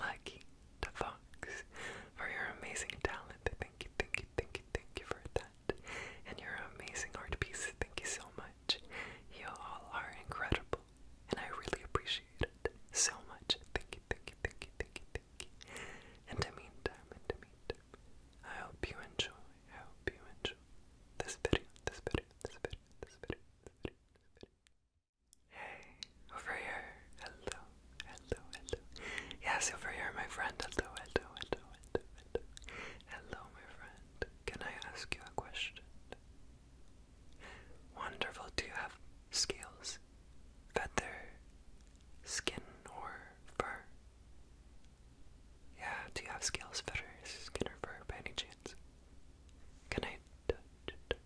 Lucky the Fox, for your amazing talent. Thank you, thank you, thank you, thank you for that. And your amazing art pieces. Thank you so much. You all are incredible, and I really appreciate it so much. Thank you, thank you, thank you, thank you, thank you. And in the meantime, in the meantime, I hope you enjoy. I hope you enjoy this video, this video, this video, this video, this video, this video. Hey, over here. Hello, hello, hello. Yes, over here, my friend. Hello, hello, hello, hello, hello. Hello, my friend. Can I ask you a question? Wonderful. Do you have scales, feather, skin, or fur? Yeah, do you have scales, feathers, skin, or fur by any chance? Can I touch,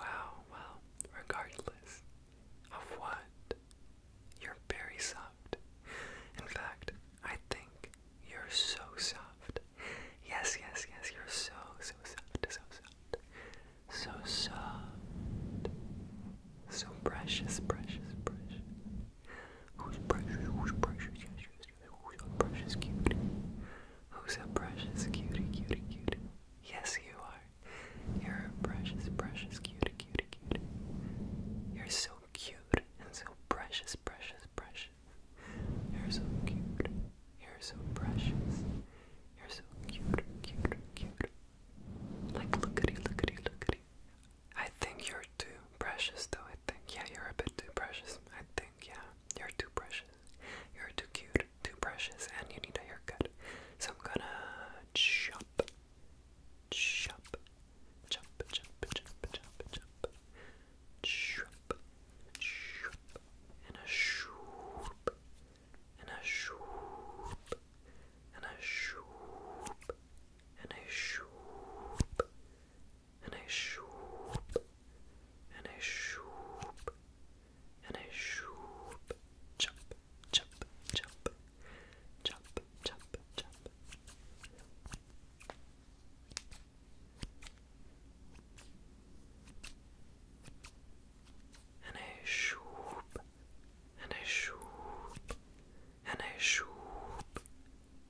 wow, well, regardless of what, you're very soft. In fact, I think you're so soft. Yes, yes, yes, you're so, so soft, so soft. So soft. So precious, precious, precious. Who's precious? Who's precious? Yes, Who's a precious cutie? Who's a precious cutie, cutie, cutie? Yes, you are. You're a precious, precious cutie, cutie, cutie. You're so cute and so precious, precious, precious. You're so cute. You're so precious. You're so cute, cute, cute. Like lookity, lookity, lookity. I think you're too precious though, I think. Yeah, you're a bit too precious. I think, yeah. You're too precious. You're too cute, too precious, and you need a haircut. So I'm gonna chop, chop, chop, chop, chop, chop, chop, chop, chop, and a shoop, and a shoop, and a shoop, and a shoop, and a shoop, and a shoop, and a shoop. Jump, jump, jump, jump, jump, jump. And a shoop, and a shoop, and a shoop,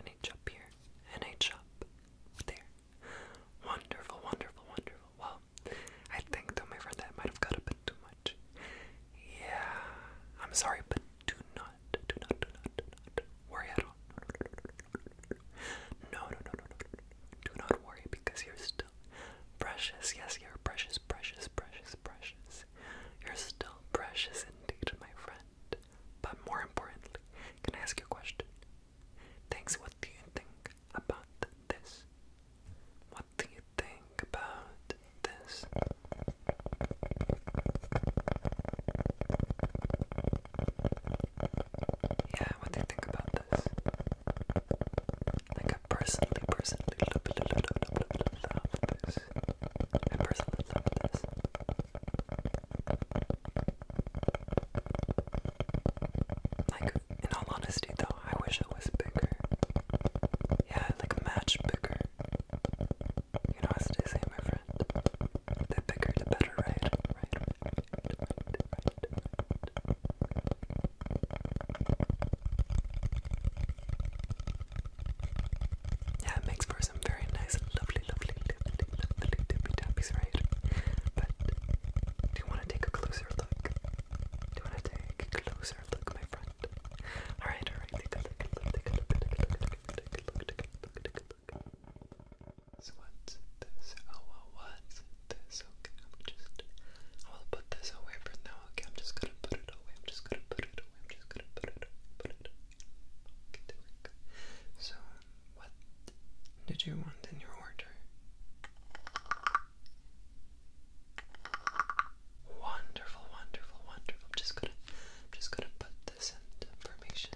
an H up here, an up there. Wonderful, wonderful, wonderful. Well, I think though my friend that might have got a bit too much. Yeah, I'm sorry, but do not, do not, do not, do not worry at all. no, no, no, no, no. Do not worry because you're still precious. Yes, you're precious, precious, precious, precious. You're still precious indeed, my friend. But more importantly, can I ask you a question? Thanks, what do you think about this? What do you think about this? Yeah, what do you think about this? Like I personally, personally love, love, love, love, love, love this. I personally love this. Like, in all honesty, though, I wish it was bigger. Yeah, like match bigger. You know, as they say, my friend, the bigger the better, right. Yeah, it makes for some very nice, lovely, lovely, lovely, lovely dippy tappies, right? But do you want to take a closer look? Do you want to take a closer look, my friend? Alright, alright, take a look, take a look, take a look, take a look, take a look, take a look, take a look. So what's this? Oh, what's this? Okay, I'm just, I will put this away for now, okay? I'm just gonna put it away, I'm just gonna put it away, I'm just gonna put it put it so, what did you want in your order? Wonderful, wonderful, wonderful. I'm just gonna, I'm just gonna put this information.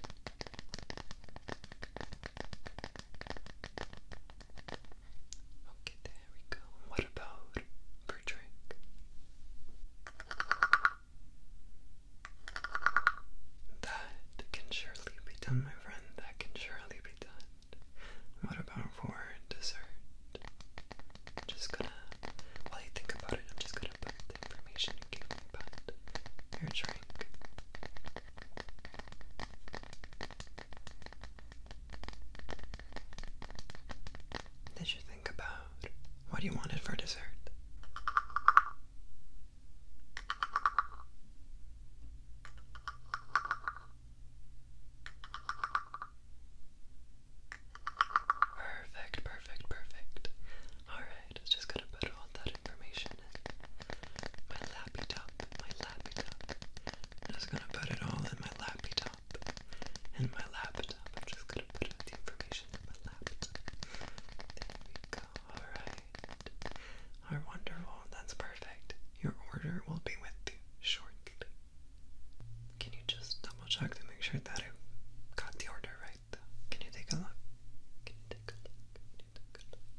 Okay, there we go. What about for drink? That can surely be done, my friend. That can surely be done. What about for dessert? just gonna, while you think about it, I'm just gonna put the information you gave me about your drink. Did you think about loud. What do you want it for dessert? Perfect, perfect, perfect. Alright, just gonna put all that information in my lappy top, my lappy top. I'm just gonna put it all in my lappy top laptop my laptop. I'm just gonna put the information in my laptop. There we go. Alright. Our wonderful. That's perfect. Your order will be with you shortly. Can you just double check to make sure that I got the order right though? Can you take a look? Can you take a look? Can you take a look?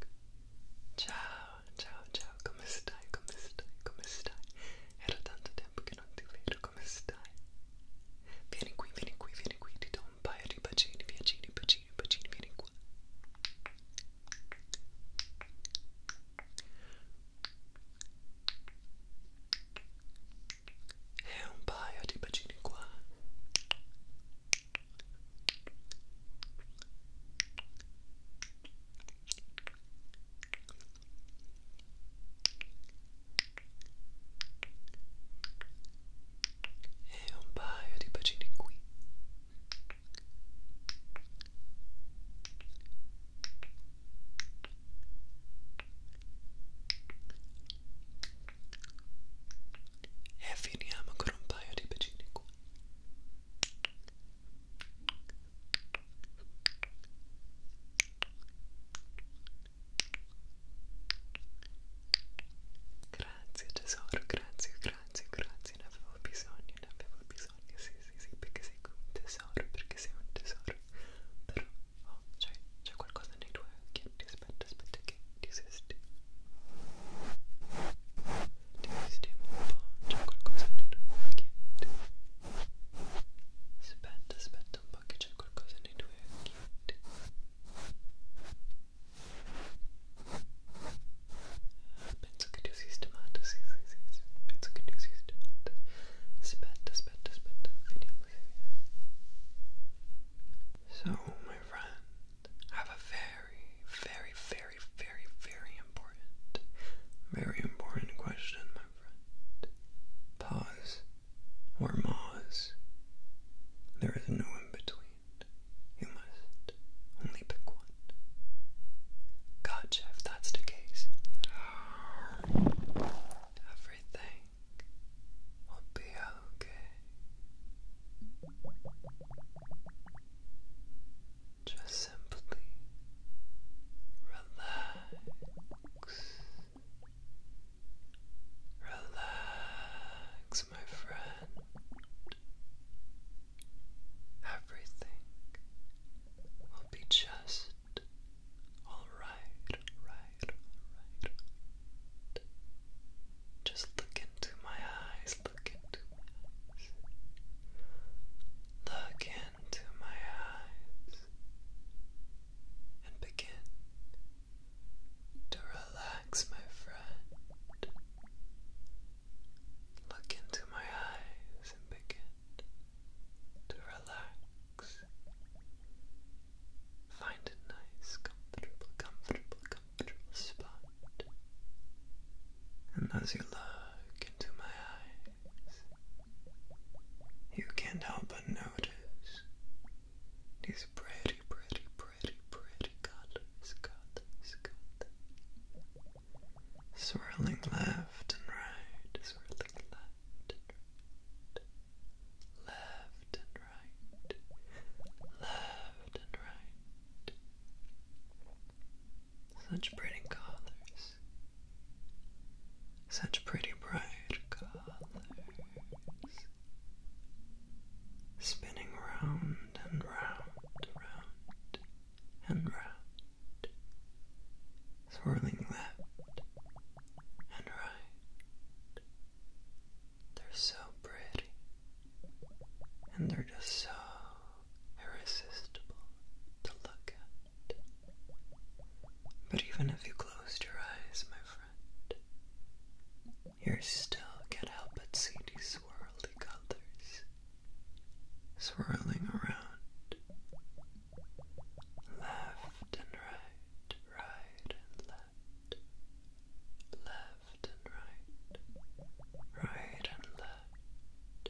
Ciao, ciao, ciao, come stai, come stai, come stai? Era tanto tempo che non ti vedo come stai. Vieni qui, vieni qui, vieni qui, ti do un paio di bacini, bacini, bacini, bacini, vieni qua. E eh, un paio di bacini qua e un paio di bacini qui e finiamo con un paio di bacini qui Grazie tesoro, grazie, grazie, grazie, ne avevo bisogno, ne avevo bisogno, sì, sì, sì, perché sei un tesoro, perché sei un tesoro. Però, oh, c'è qualcosa nei tuoi occhietti, aspetta, aspetta che ti sistemo. Ti sistemo un po', c'è qualcosa nei tuoi occhietti. Aspetta aspetta aspetta so my friend I have a very very very very very important very important question my or maws. There is no in between. You must only pick one. Gotcha, if that's the case. Everything will be okay. Just simply relax. Relax, my friend. Everything will be just all right, Just look into my eyes, look into my eyes. Look into my eyes and begin to relax, my friend. Look into my eyes and begin to relax. Find a nice, comfortable, comfortable, comfortable spot. And as you look into my eyes you can't help but notice these pretty, pretty, pretty, pretty colors, colors, colors, swirling left and right, swirling left Left and right, left and right. Such pretty colors. Such pretty bright colors. Spinning round and round, round and round. Swirling left and right. They're so pretty. And they're just so irresistible to look at. But even if you closed your eyes, my friend, you still can't help but see these swirly colors swirling around left and right, right and left, left and right, right and left.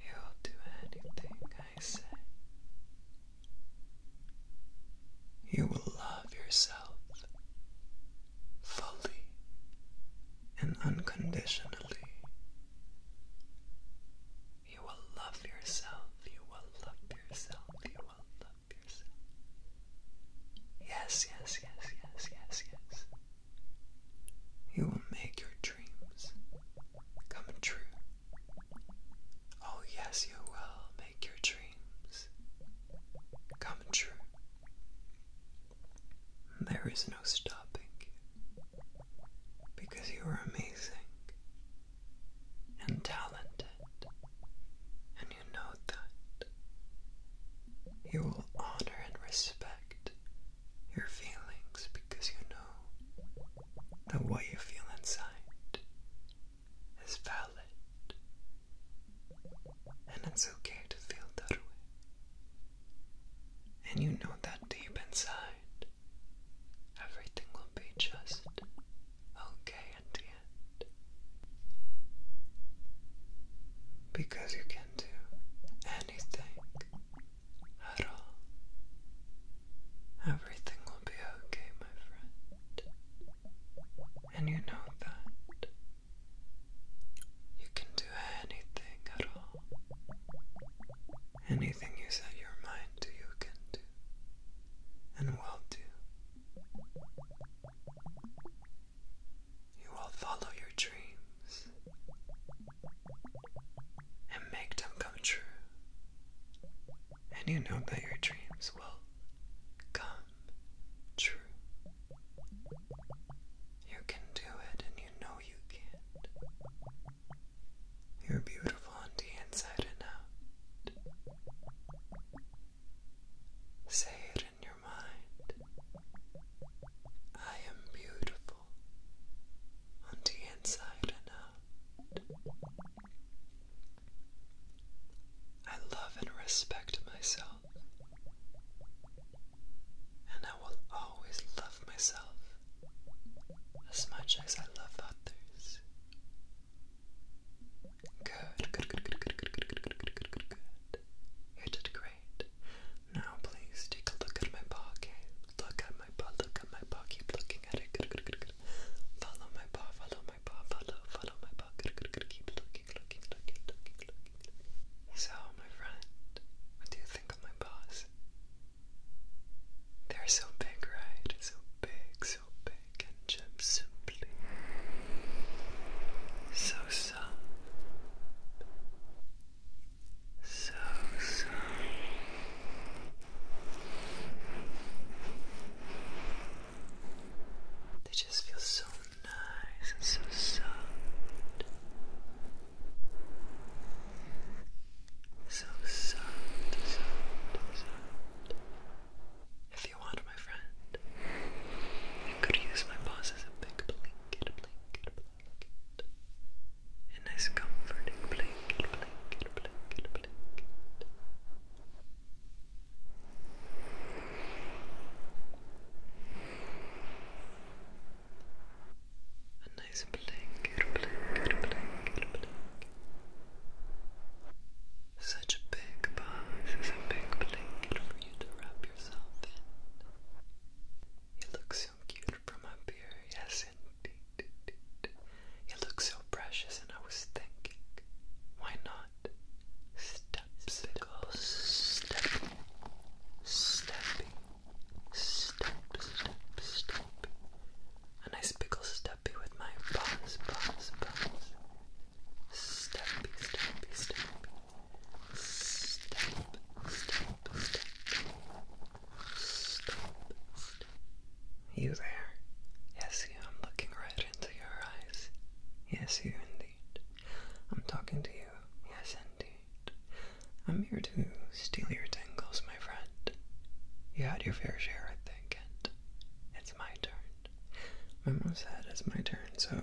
You'll do anything I say. You will love yourself fully and unconditionally. You will love yourself, you will love yourself, you will love yourself. Yes, yes, yes, yes, yes, yes. You will make your dreams come true. Oh, yes, you will make your dreams come true. There is no stopping you because you are amazing and talented, and you know that. You will honor and respect your feelings because you know that what you feel inside is valid and it's okay to feel that way. And you know that deep inside everything will be just okay at the end. Because you can do anything at all. Everything will be okay, my friend. And you know that. You can do anything at all. Anything you set your mind to, you can do. And will do. You will follow your dreams and make them come true. And you know that your dreams will come true. You can do it and you know you can. You're beautiful on the inside and out. Say it in your mind. I am beautiful on the inside and out. I love and respect myself, and I will always love myself as much as I love others. Good, good, good, good, good, good, good, good, good, good, good, good. You did great. Now please take a look at my pocket. Look at my paw, look at my paw, keep looking at it. Follow my paw, follow my paw, follow, follow my paw. Keep looking, looking, looking, looking, looking, So my friend, what do you think of my paws? They're so big, right? So big, so big, and just simply so soft so so they just feel so nice and so soft so soft, soft, soft if you want my friend you could use my paws as a big blanket a nice comforting blanket, blanket, blanket, blanket. A nice blanket, blanket, blanket, blanket. Such a big box is a big blanket for you to wrap yourself in. You look so cute from up here. Yes, indeed. indeed. You look so precious, and I was thinking, why not step, stepping, stepping, stepping, step, A nice pickle steppy with my paws, paws, paws. Steppy, steppy, steppy stop, stop, stop, stop. You there? Yes, you. I'm looking right into your eyes. Yes, you indeed. I'm talking to you. Yes, indeed. I'm here to steal your tingles, my friend. You had your fair share, I think, and it's my turn. My mom said it's my turn, so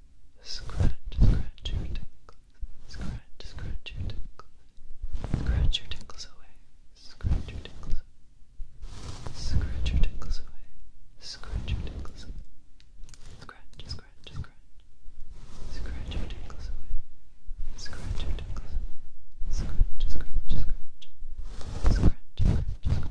Scratch, scratch your tinkles. Scratch, scratch your tinkles. Scratch your tinkles away. Scratch your tinkles. Scratch your tinkles away. Scratch your tinkles. Scratch, scratch, scratch. Scratch your tinkles away. Scratch your tinkles. Scratch, scratch, scratch. Scratch, scratch, scratch.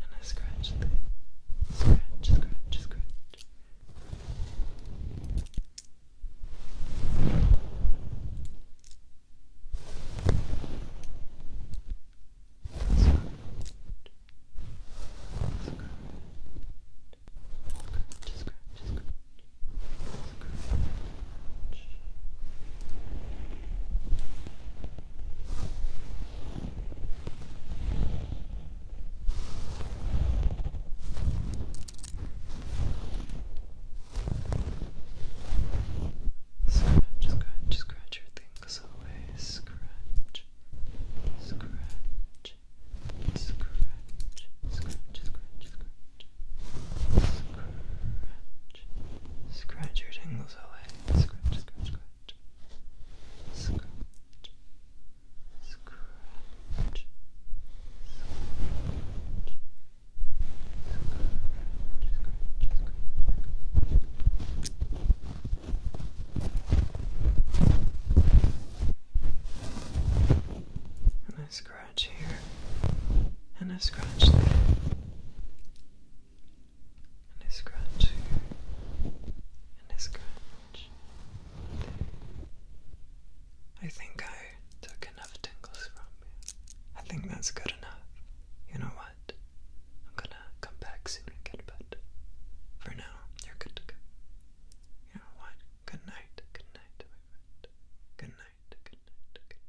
and I scratch the scratch, scratch, scratch. Scratch, scratch. Scratch, scratch, scratch. Scratch. Scratch, scratch, scratch your things away. Scratch, scratch, scratch, scratch, scratch, scratch, scratch, scratch your tingles away. Scratch, scratch, scratch scratch, scratch, scratch. And I scratch here, and I scratch there, and a scratch here, and a I think I took enough tingles from you. I think that's good enough. You know what? I'm gonna come back soon and get For now, you're good to go. You know what? Good night, good night, Good night, good night, good night.